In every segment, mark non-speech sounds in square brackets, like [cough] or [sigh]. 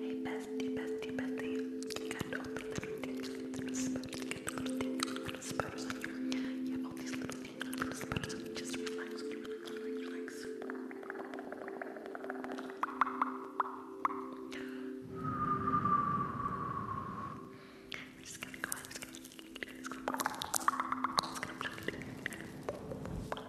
Hey bestie, bestie, bestie. You all the little little spiders. little things, on you. You all these little little spiders Just relax, relax, relax. we just gonna go ahead just gonna, just going just gonna, just going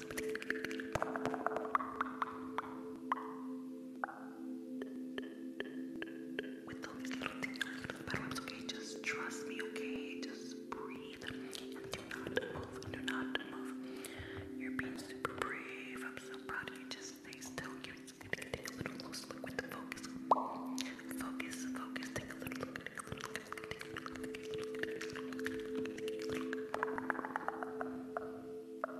With all these little tingles, little bedrooms, okay? Just trust me, okay? Just breathe and do not move. Do not move. You're being super brave. I'm so proud of you. Just stay still. You're just gonna take a little close look with the focus. Focus, focus, take a little look, take a little look, take a little look, take a little look. Take a little look. Spine.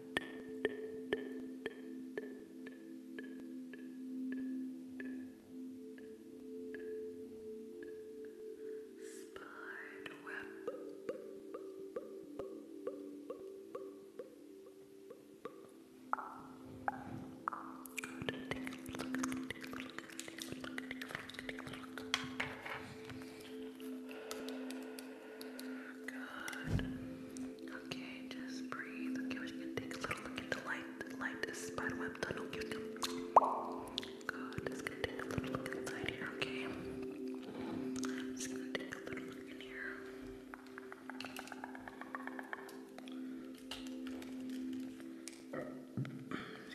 Spider web. Good. Good. Okay, just breathe. Okay, we're just gonna take a little look at light. light is spiderweb tunnel. Good. Just gonna take a little look inside here, okay? Just gonna take a little look in here.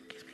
Excuse me.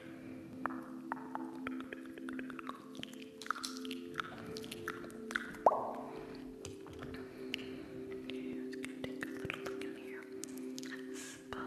gonna take a little look in here. Spot.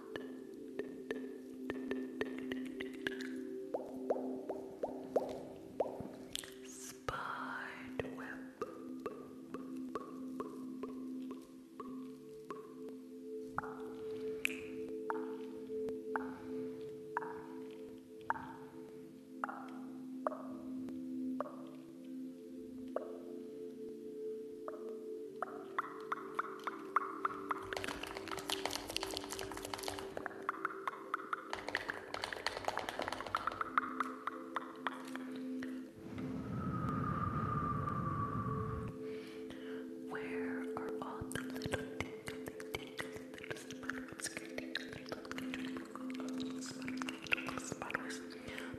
Spider web. Spider web. Where are all the little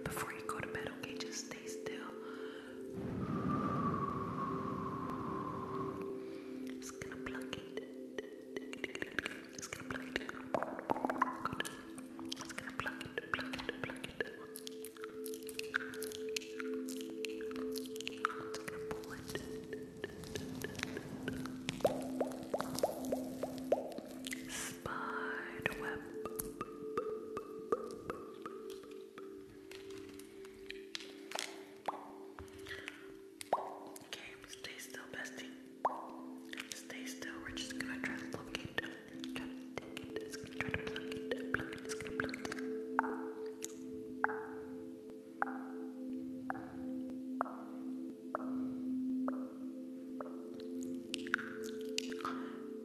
before you go to bed, okay, just stay still. Just gonna pluck it. Just gonna pluck it. Good. Just gonna pluck it, pluck it, pluck it. Just gonna pull it. Spider web. Okay, stay still, bestie. Stay still. We're just gonna try to locate it.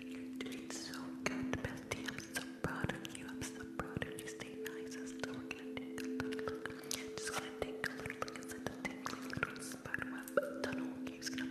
You're so good, Bestie. I'm so proud of you. I'm so proud of you. Stay nice. And so we're going Just gonna take a little look inside the tingly little spider web tunnel. Okay, just gonna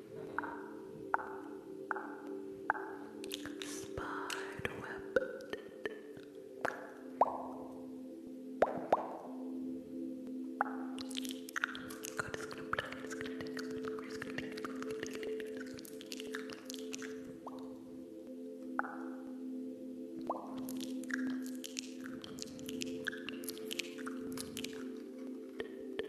Spider web. God, it's gonna blow, it's gonna take a little it's gonna take a little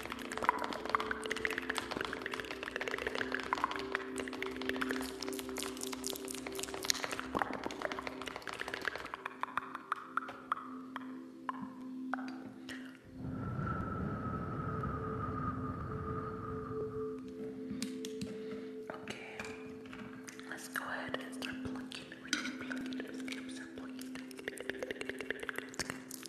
Okay, let's go ahead and start plucking. We're gonna pluck it. Let's get plucking. Let's get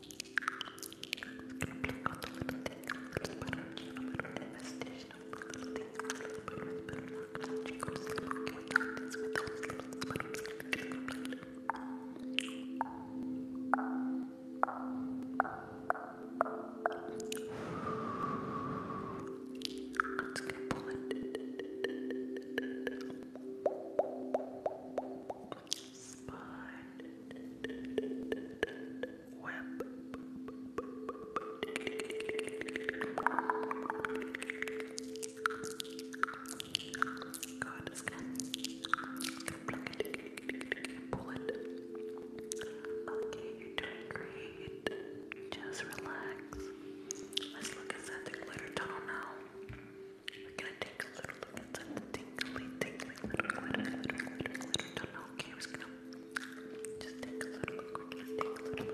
Click on the little thing, little butter, little butter, investigation of the little thing, little butter, little butter, knock, knock, you go to sleep, okay, I got this with those little butter, click, click, Let's get pull it. Spine web. God is pull it. Okay, great. Just relax. Let's look inside the glitter tunnel now. We're gonna take a little look inside the tingly, tingly, little glitter, glitter, glitter, glitter tunnel okay, we're gonna just take a little bit, Okay, we're gonna take a little bit, we're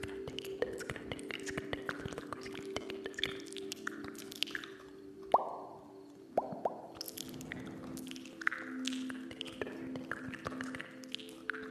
gonna take it, it's gonna take it, it's going gonna take a little bit, it's going gonna take a little bit, gonna take a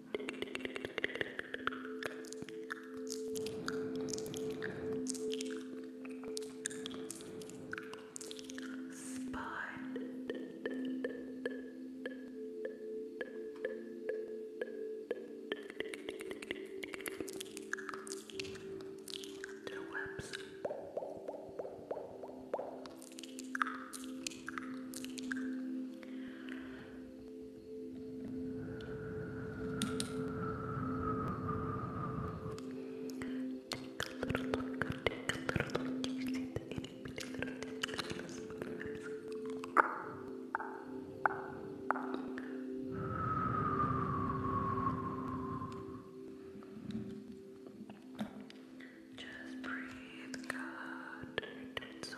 Their webs. Take a little look, take a little look. You see the itty bitty little tingles. Just breathe, God. It's so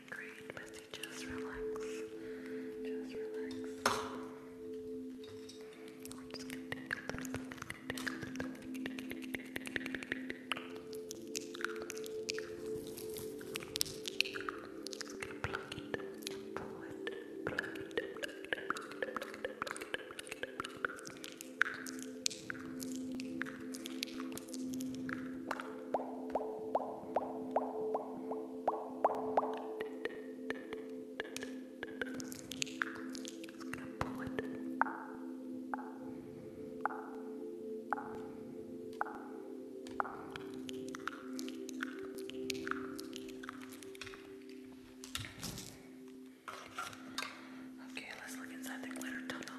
great, Missy. Just relax. Just relax. We're just gonna plug it and pull it. Plug it. Plug it pull it. Okay, let's look inside the glitter tunnel.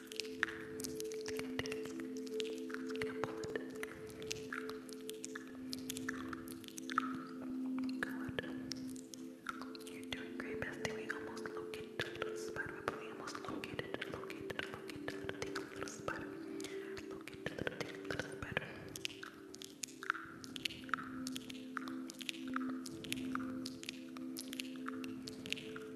Good. You're doing great, bestie. We almost located a little spider, but we almost located, located, located a little, thing, little spider. Located a little, thing, little spider. Good.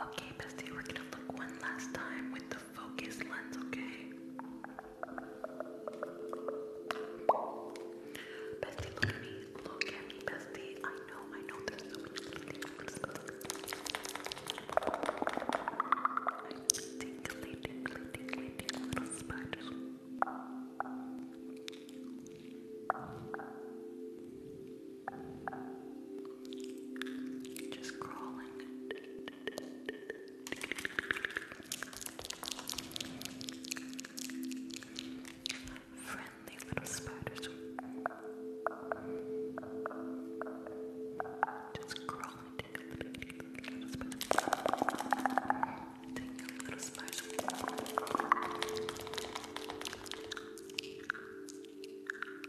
Okay, bestie, we're gonna look one last time with the focus lens, okay? Bestie, look at me. Look at me, bestie. I know, I know there's so many Tinkly, tinkly, tinkly, tinkly little spiders. Just crawling. Friendly little spiders. Just crawling. Little spiders. Take your little spider. Just crawling,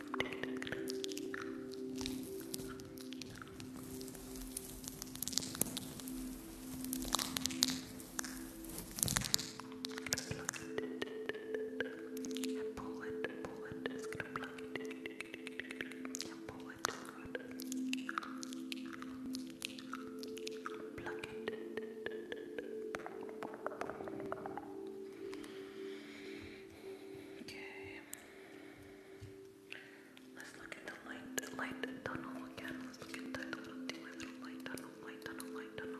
And pull it, pull it, it's gonna be like and pull it good. Pluck it. Okay. Let's look at the light, light tunnel again. Let's look at that little light tunnel, light tunnel, light tunnel.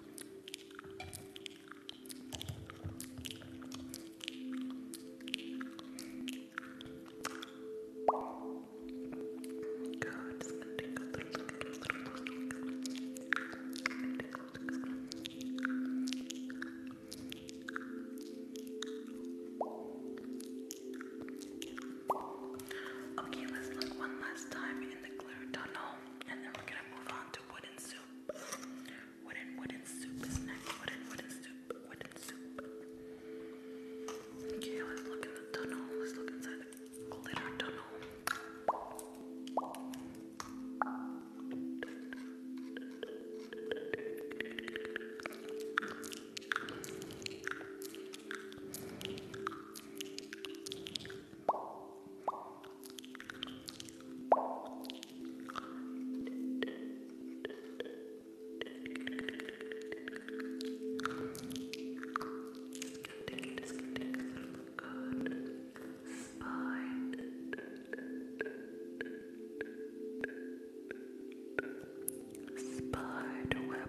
Okay, let's look one last time in the clear tunnel. And then we're gonna move on to wooden soup. Wooden wooden soup is next. Wooden wooden soup. Wooden soup. Okay, let's look in the tunnel. Let's look inside the glitter tunnel. Spider web.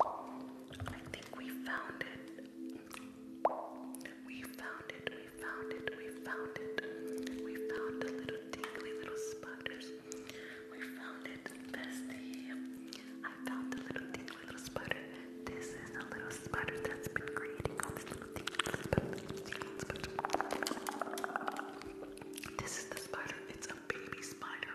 I think we found it. We found it, we found it, we found it. We found the little tingly little spiders. We found it, bestie. I found the little tingly little spider. This is the little spider that's been creating all these little tingly spider. This is the spider. It's a baby spider.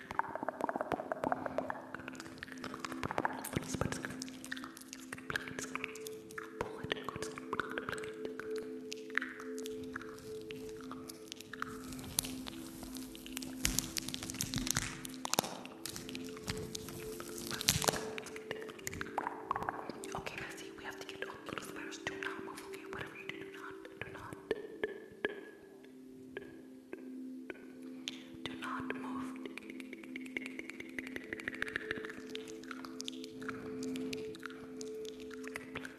Okay, Bessie, we have to get all the little spiders. Do not move, okay? Whatever you do, do not, do not. Do not move. Pluck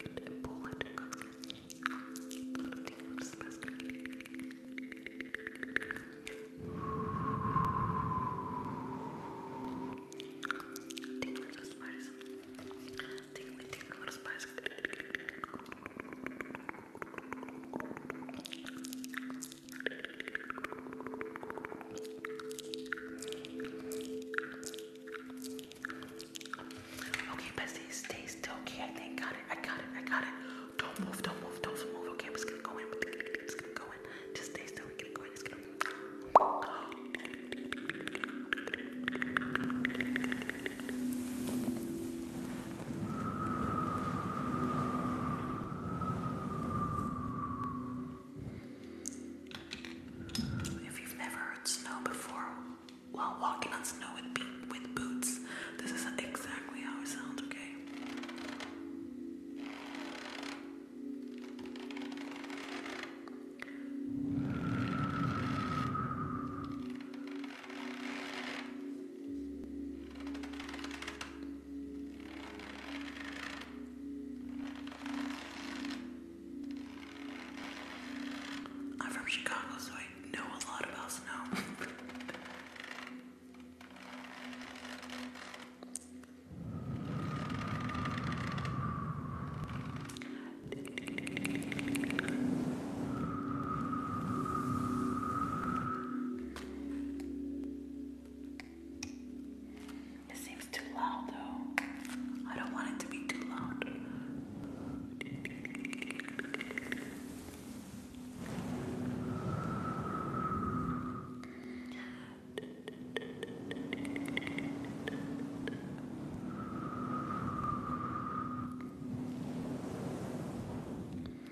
it and pull it and cook it. Little tingles best. Tingles of spice. Tingly tingle of spice. Okay, bestie, stay still. Okay, I think got it. I got it. I got it. Don't move. Don't move. Don't move. Okay, I'm just gonna go in. Just gonna go in. Just stay still. We're gonna go in. Just gonna. If you've never heard snow before, while walking on snow with, boots, this is exactly how it sounds, okay? I'm from Chicago, so I know a lot about snow. It seems too loud though. I don't want it to be too loud.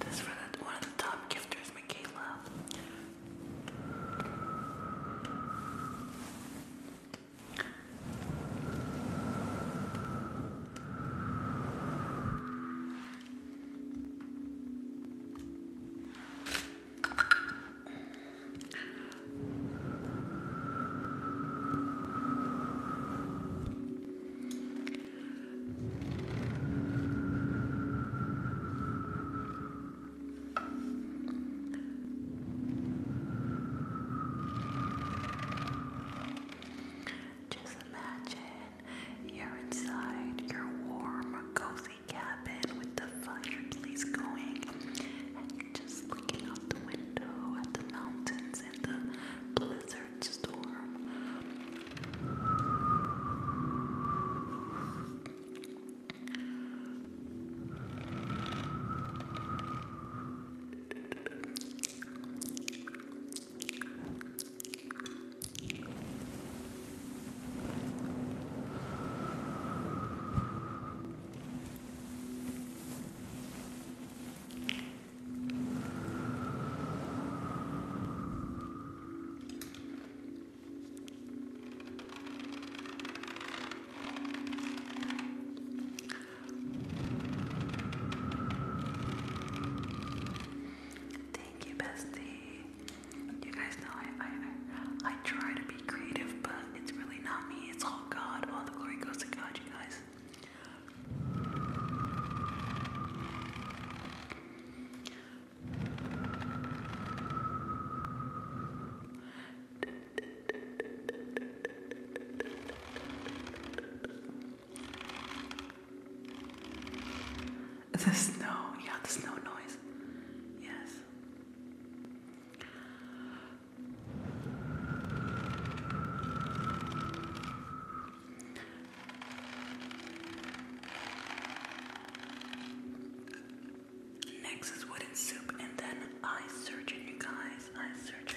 This for the, one of the top gifters, Michaela. Just imagine you're inside your warm, cozy cozy with the fireplace going, and you're just looking out the window at the mountains and the blizzard storm. Thank you, bestie. You guys know I I I, try to to creative, but it's really not me. It's all God. All the glory goes to God, you guys. The snow, yeah, the snow noise. Yes. Next is wooden soup, and then I search, surgeon, you guys. I search.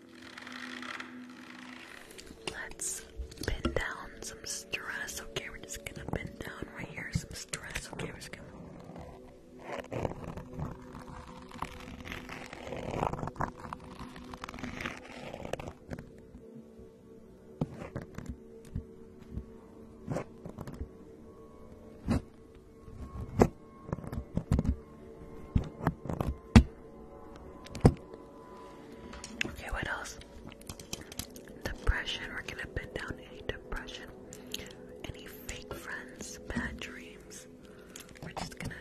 Let's pin down some stress. Okay, we're just gonna pin down right here some stress. Okay, we're just gonna. Okay, what else? Depression. We're gonna pin down any depression, any fake friends, bad dreams. We're just gonna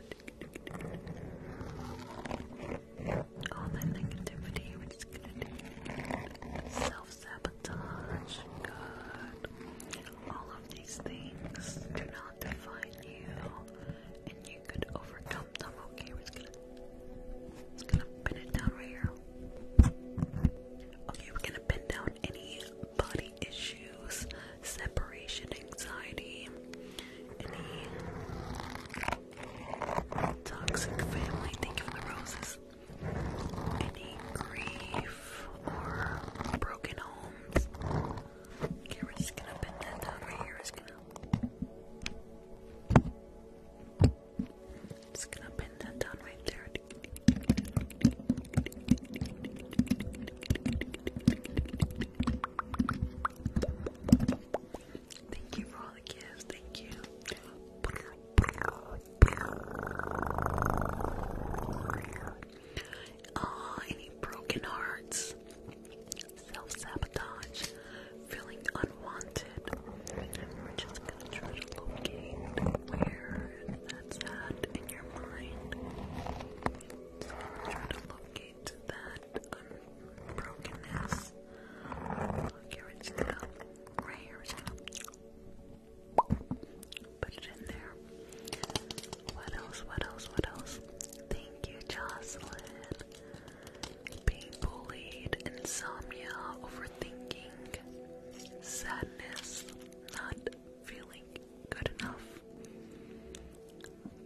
all that negativity. We're just gonna self sabotage. Good. All of these things do not define you, and you overcome them. Okay, we're gonna pin it down right here. Okay, we're gonna pin down any body issues, separation anxiety, any toxic family. Thank you for the roses. Any grief or broken homes. Okay, we're just gonna bend that down right here. We're just gonna, just gonna bend that down right there. Thank you for all the gifts. Thank you uh, any broken hearts, self sabotage, feeling unwanted. just try to locate where that's at in your mind. try to locate that unbrokenness. here, it's going right here, it's going put it in there. What else? What else? What else? The you, Jocelyn. Being bullied, insomnia, overthinking, sadness, not feeling good enough,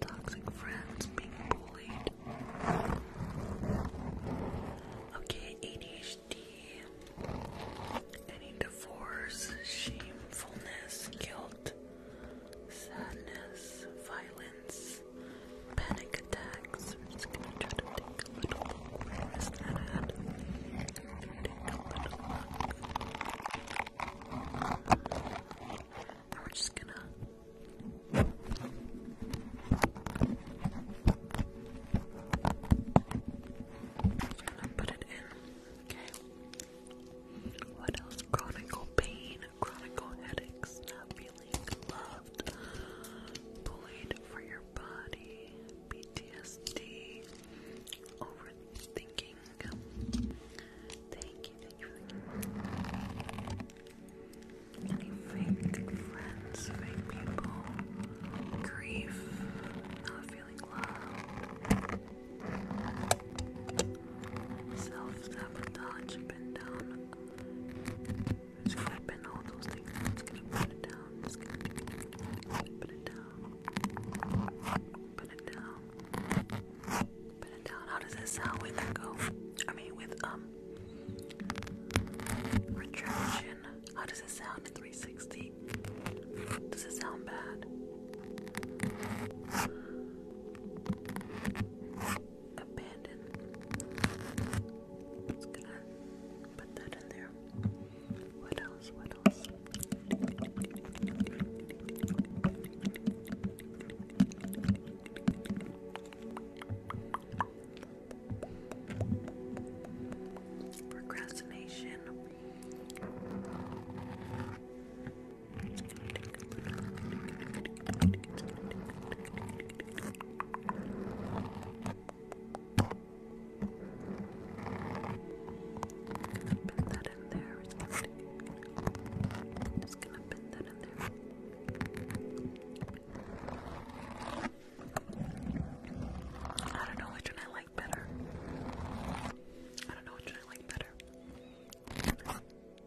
toxic friends, being bullied. Okay, ADHD, any divorce, shamefulness, guilt sadness, violence, panic attacks. I'm just gonna try to take a little. Where is that And we're just gonna. just gonna put it in. Okay. What else? Chronicle pain, chronic headaches, not feeling loved, bullied for your body, PTSD, overthinking. Thank you, thank you. Any fake friends, fake people, grief, not feeling loved. Self-sabotage, been down. i gonna pin all those things. i gonna put it down. i gonna put it down. Put it down. Put it down. How does that sound with echo? Oh, I mean with um retraction. How does it sound in 360? Does it sound bad? abandoned. Just gonna put that in there. What else? What else? Procrastination put that in there. I'm just gonna put that in there. I don't know which one I like better. I don't know which one I like better.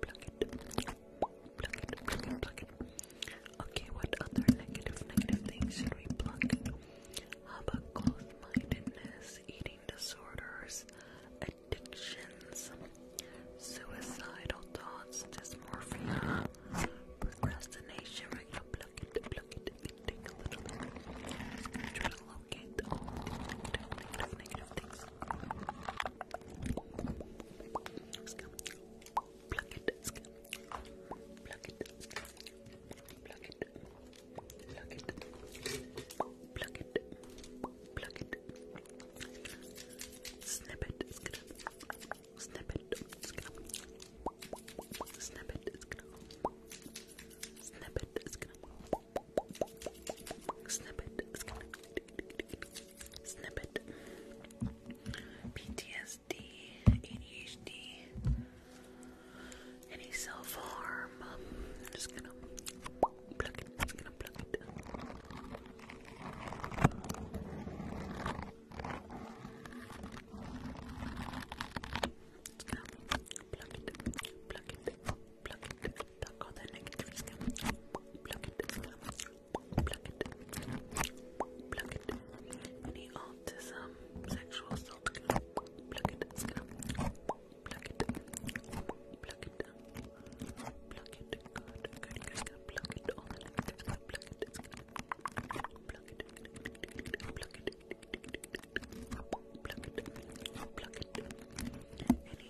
Pluck it. Pluck it. Pluck it. Pluck it. Okay, what other negative, negative things should we pluck? How about closed-mindedness, eating disorders, addictions, suicidal thoughts, dysmorphia, procrastination? We're gonna pluck it, pluck it, and take a little bit allocate negative, negative, negative things. Scum. Plug it, scum. Plug it, scum. Plug it. Plug it. Plug it. Plug it. Snip it, scum. Snip it, scum. Snip it, scum. Snip it, scum. Snippet. Snippet. PTSD, ADHD, any self harm. just gonna pluck it. Just gonna pluck it. Just gonna pluck it. Pluck it pluck it, pluck all the negative scum, pluck it, pluck it, pluck it, any autism, sexual assault, pluck it, scum, pluck it, pluck it, pluck it, good, good, good, good, pluck it, all the negative scum, pluck it, pluck it, pluck it, pluck it, pluck it, pluck it, any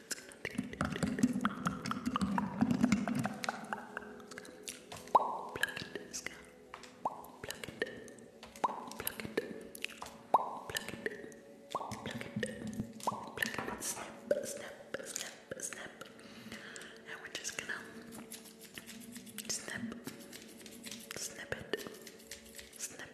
Pluck into the sky. Pluck it. Pluck it. Pluck it. Pluck it. Pluck it. Snap, snap, snap, snap. And we're just gonna snap. Snap it. Snap it. Snap.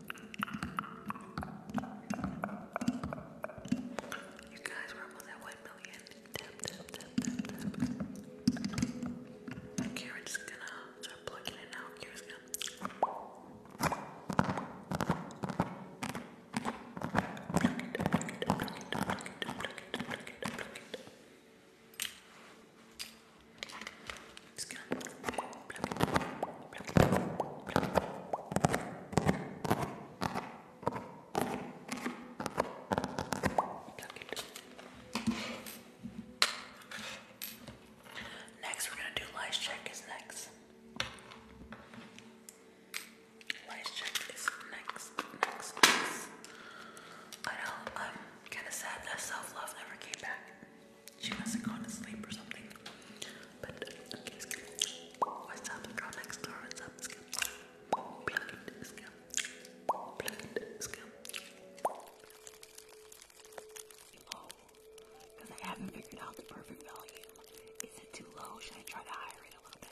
You guys were almost at 1 million. Tap, tap, tap, tap, tap. Okay, we're just gonna start plugging it out. Here it's gonna. It's going Next, we're gonna do lice check. Is next. Lice check is Next. next. I know. I'm kind of sad that self love never came back. She must have gone to sleep or something. But okay, skip. What's up, girl next door? What's up, skip? Plug it, skip. Plug it, because I haven't figured out the perfect volume. Is it too low? Should I try to higher it a little bit?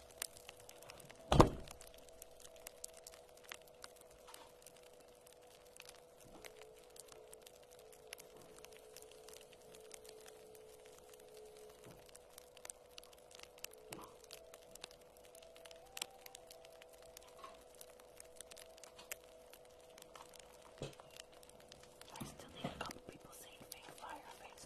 I still need a couple people saying fake fire face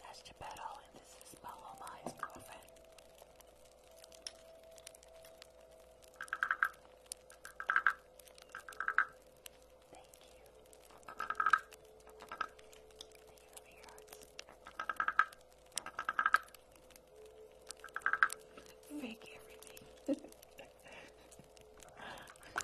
That's Geppetto, and this is Paloma, his girlfriend. Thank you. Thank you for your Make everything. [laughs]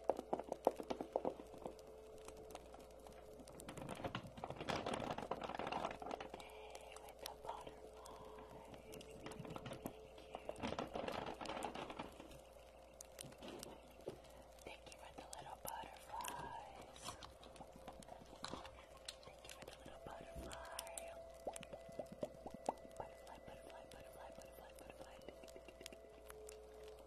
Thank you for the little butterflies. Thank you for the little butterfly. Butterfly, butterfly, butterfly, butterfly, butterfly, butterfly.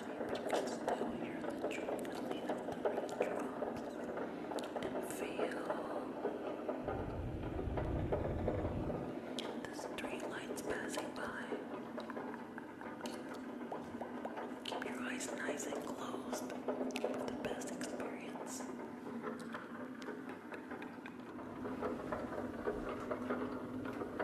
Still hear the trickling feel the street lights passing by. Keep your eyes nice and closed for the best experience.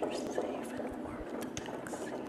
You're safe and warm in the back seat.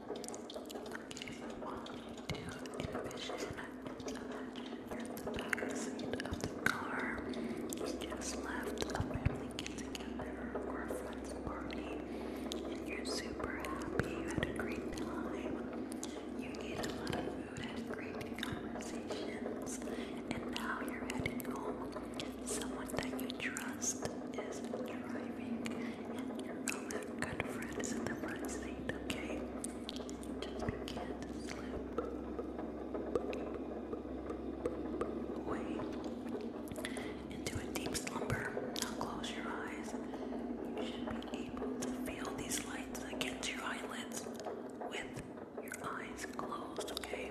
envision, imagine you in the back of the car. You just left a family get together or a friend's party, and you're super happy. You had a great time. You ate a lot of food, had great conversations, and now you're heading home. Someone that you trust is driving, and your own good friend is in the front okay? Just can't slip away into a deep slumber. Now close your eyes. You should be able to feel these lights against your eyelids with your eyes closed, okay?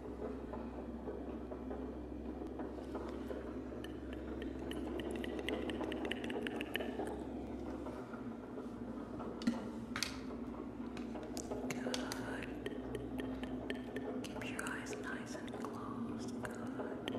Good. Keep your eyes nice and closed. Good. Good.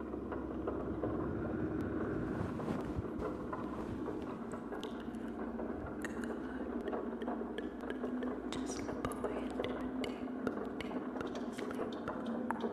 Good. Just go ahead and deep, deep sleep. Good.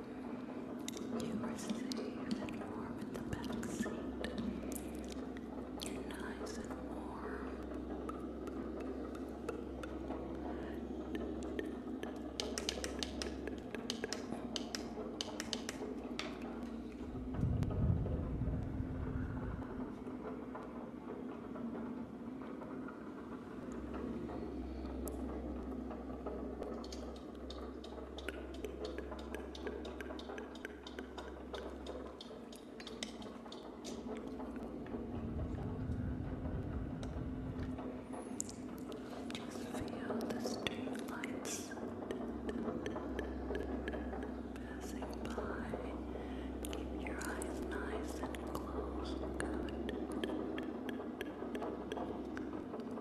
You are safe and warm in the back seat. nice and warm. Just feel the street lights passing by. Keep your eyes nice and closed. Good.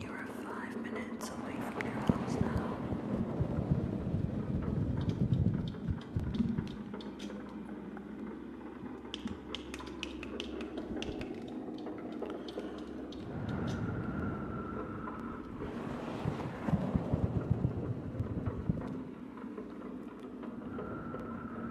You are five minutes away from your house now. Good, just relax.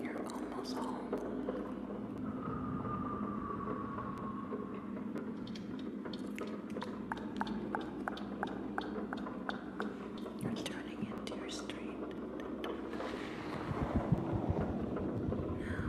You're almost home. You're turning into your street. Now.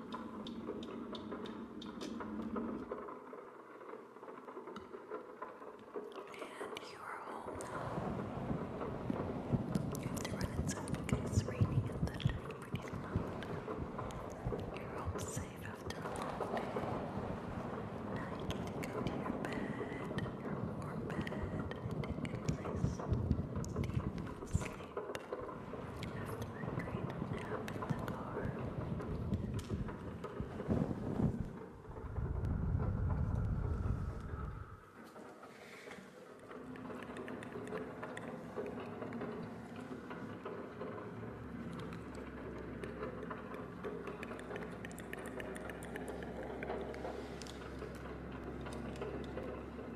And you are home You have to run inside because it's raining and thundering pretty loud. You're home safe after a Now you get go to your bed, your warm bed, and take a nice deep sleep. After I drained the nap in the car, I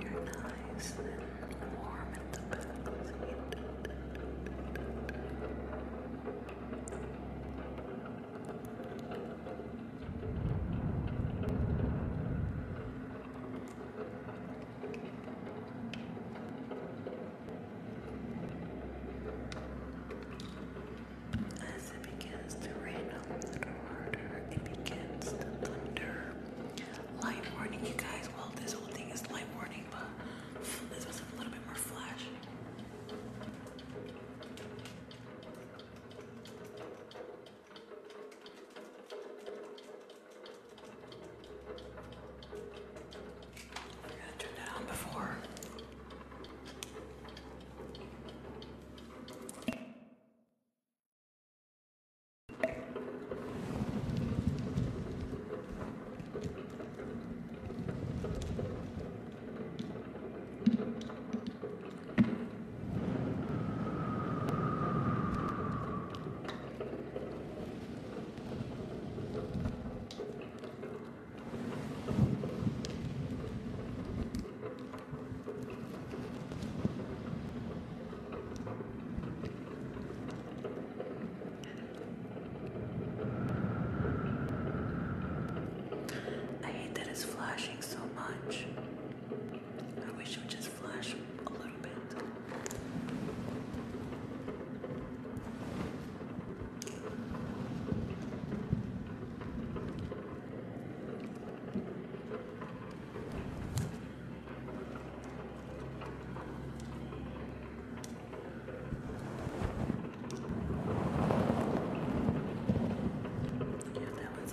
You're nice and warm in the back of as it begins to rain a little harder, it begins to thunder. Light warning, you guys. Well, this whole thing is light warning, but this was a little bit more flash. I turned that on before. I hate that it's flashing so much. I wish it would just flash a little bit. Yeah, that was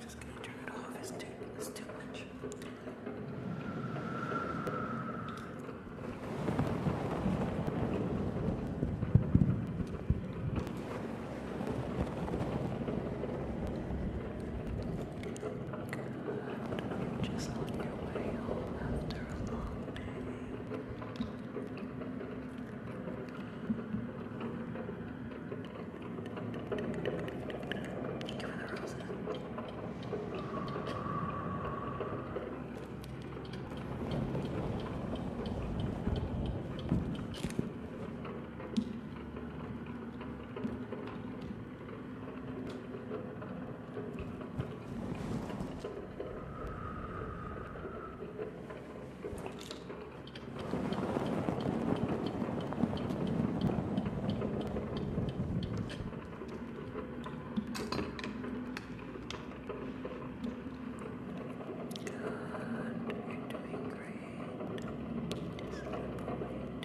just gonna turn it off. It's too, it's too much. Just on your way home after a long day. Thank you the roses. Good, you're doing great. Just keep going.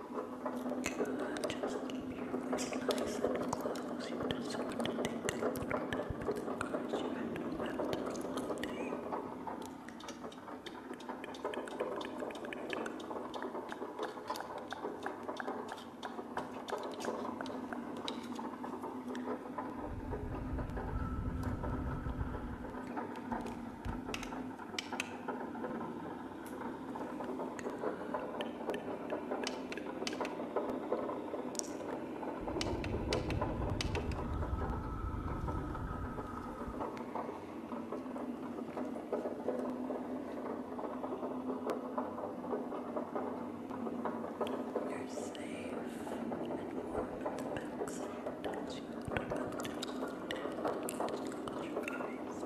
Good. Just keep your eyes nice and closed. You just want to take a little time with the cars you had after a long day. Good. You're safe and warm in the backside as you are after your eyes.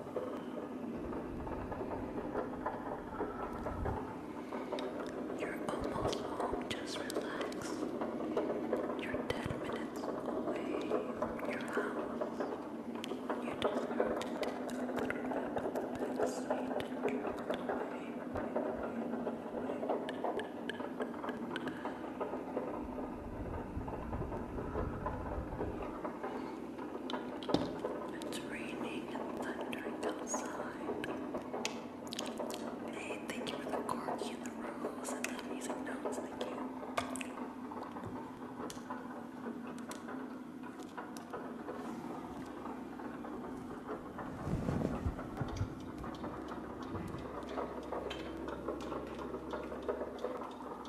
You're almost home, just relax. You're ten minutes away from your house. You deserve to take a little nap the back seat it's raining and thundering outside. Hey, thank you for the corky and the rose and the music notes. Thank you.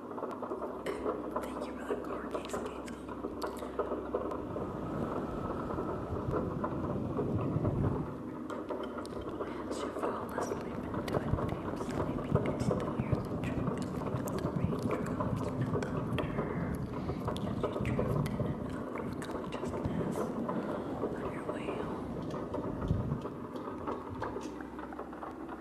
Thank you for that card case, Caitlin. As you fall asleep into a deep sleep, you can still of the raindrops and thunder as you drift in and out of consciousness on your way home.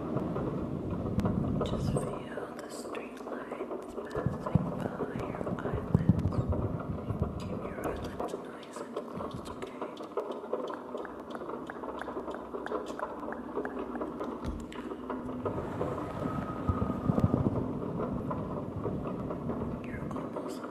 Just feel the street passing by your eyelids. Keep your eyelids nice and closed, okay? You're almost home.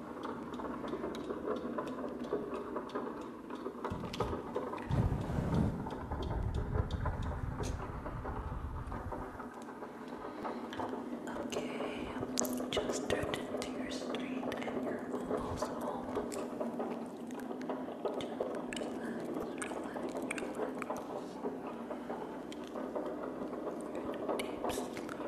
Okay, just turn into your street and you're almost home. Just relax, relax, relax. You're in a deep sleep.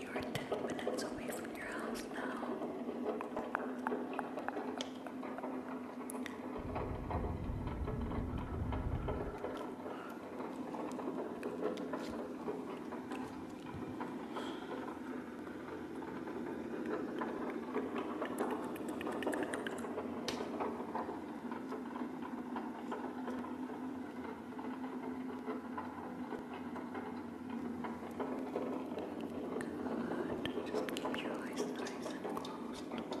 You are 10 minutes away from your house now. Thank Good. Just keep your eyes nice and closed. Good.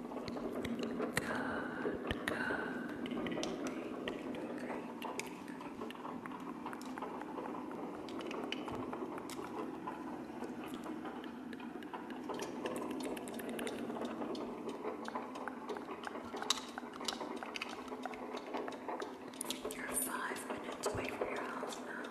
Good, You're five minutes away from your house now.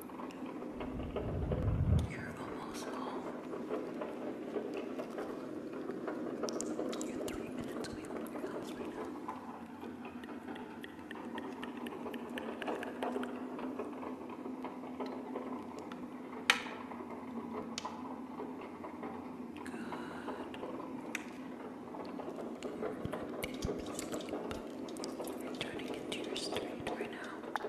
You're almost home. You're three minutes away from your house right now. Good. You're turning into your street right now.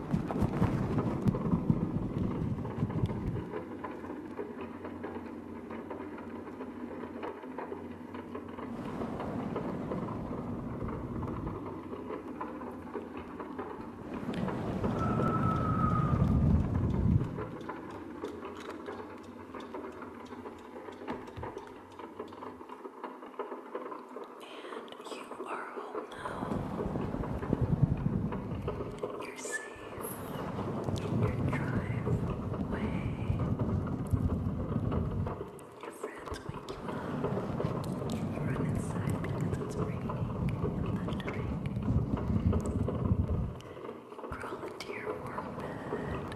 And you are home you're safe in your driveway. Your friends wake you up. You run inside because it's raining and thundering. You crawl into your warm bed.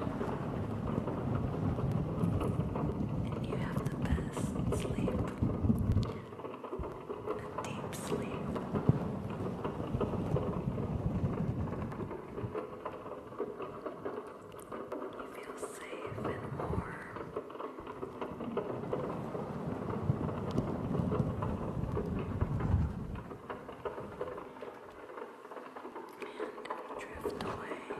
And you have the best sleep deep sleep. You feel safe and warm. And drift away.